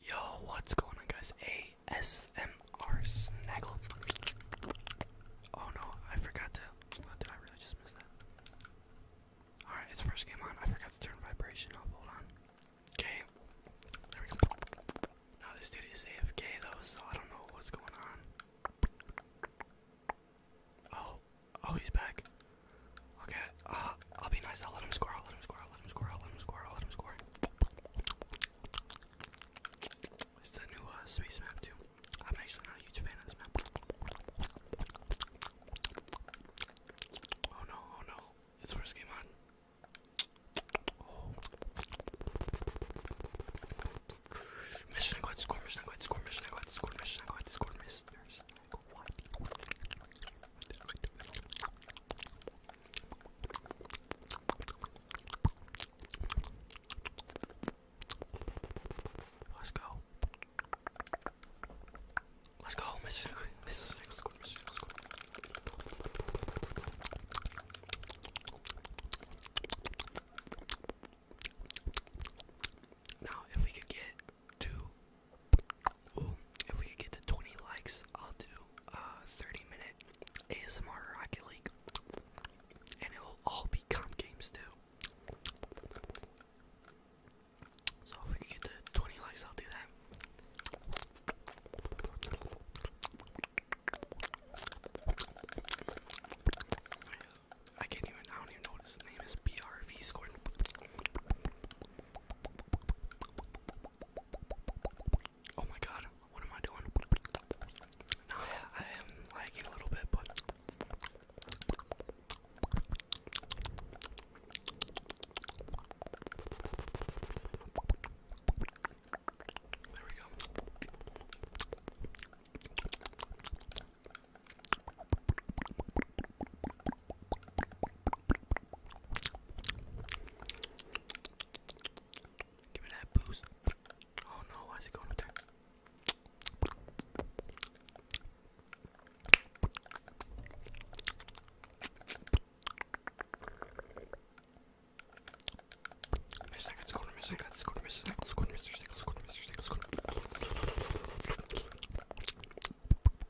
Yo, what's going on, guys? ASMR Snaggle. Oh no, I forgot to. Oh, did I really just miss that? Alright, it's first game on. I forgot to turn vibration off. Hold on. Okay, there we go. Now this dude is AFK though, so I don't know what's going on. Oh, oh, he's back. Okay, uh, I'll be nice. I'll let him score. I'll let him score. I'll let him score. I'll let him score. I'll let him score. It's the new uh, space map too. I'm actually not a huge fan of this map. Oh no! Oh no! It's first game on. Oh. Mission go ahead, score, mission go ahead, score, mission go ahead, score, mission go ahead, score, miss, there's why? Let's go. Let's go, Mr. Mr. Let's go, Mr. Let's go. Now, if we could get to if we get to 20 likes, I'll do a uh, 30 minute ASMR Rocket League, and it'll all be comp games too. So if we get to 20 likes, I'll do that. I can't even. I don't even know what his name is. BRV scored. Oh my god, what am I doing? I am lagging a little bit, but. There we go. Give me that boost. Oh no, why is it going up there? Mr. Let's go to Mr. Let's go to Mr. Let's go to Mr. Let's go to Mr. Let's go to Mr.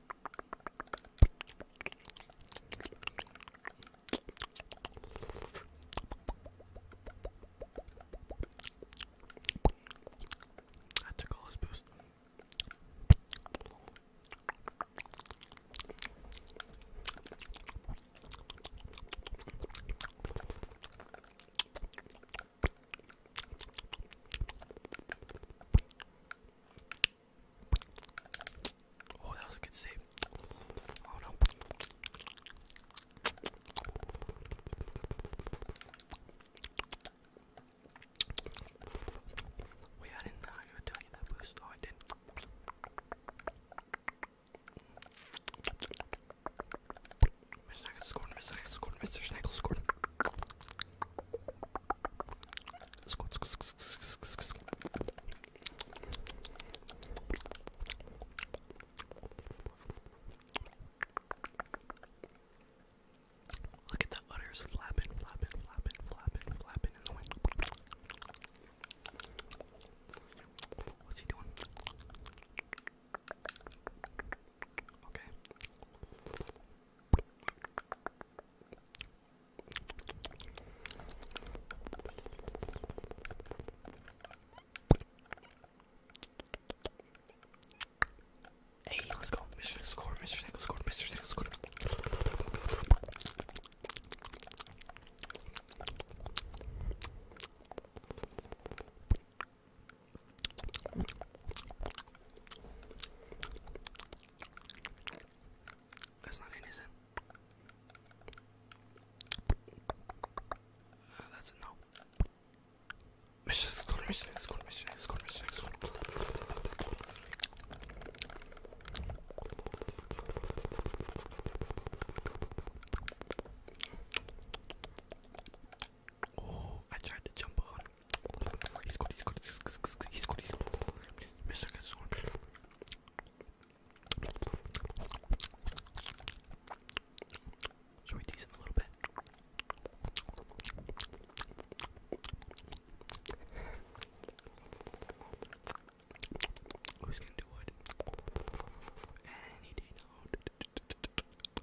I took all his boost. Oh, that was a good save. Oh no. Wait, I didn't know that boost. Oh, I did. Mr. Snackle scored, Mr. Snackle scored, Mr. Snackle scored. Look at the udders flapping, flapping, flapping, flapping, flapping in the wind. What's he doing? Okay. Hey, let's go. Mr. Nickel scored, Mr. Nickel scored, Mr. Nickel scored. That's not innocent. Uh, that's no. Mission, school, mission, school, mission, school, mission, school. Oh, I tried to jump on. He scored, he scored, he scored, he scored, he scored. Mr. Cat scored. Should we tease him a little bit? Who's gonna do what? And he did not.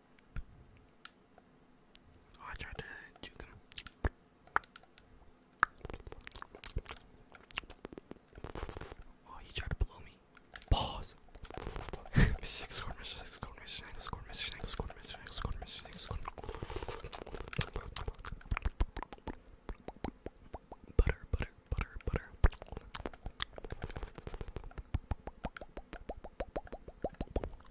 Oh, I tried to juke him. Oh, he tried to blow me. Pause. Mr. Six scored, Mr. Six scored, Mr. Six scored, Mr. Six scored, Mr. Six scored, Mr. Six scored. Butter, butter, butter, butter.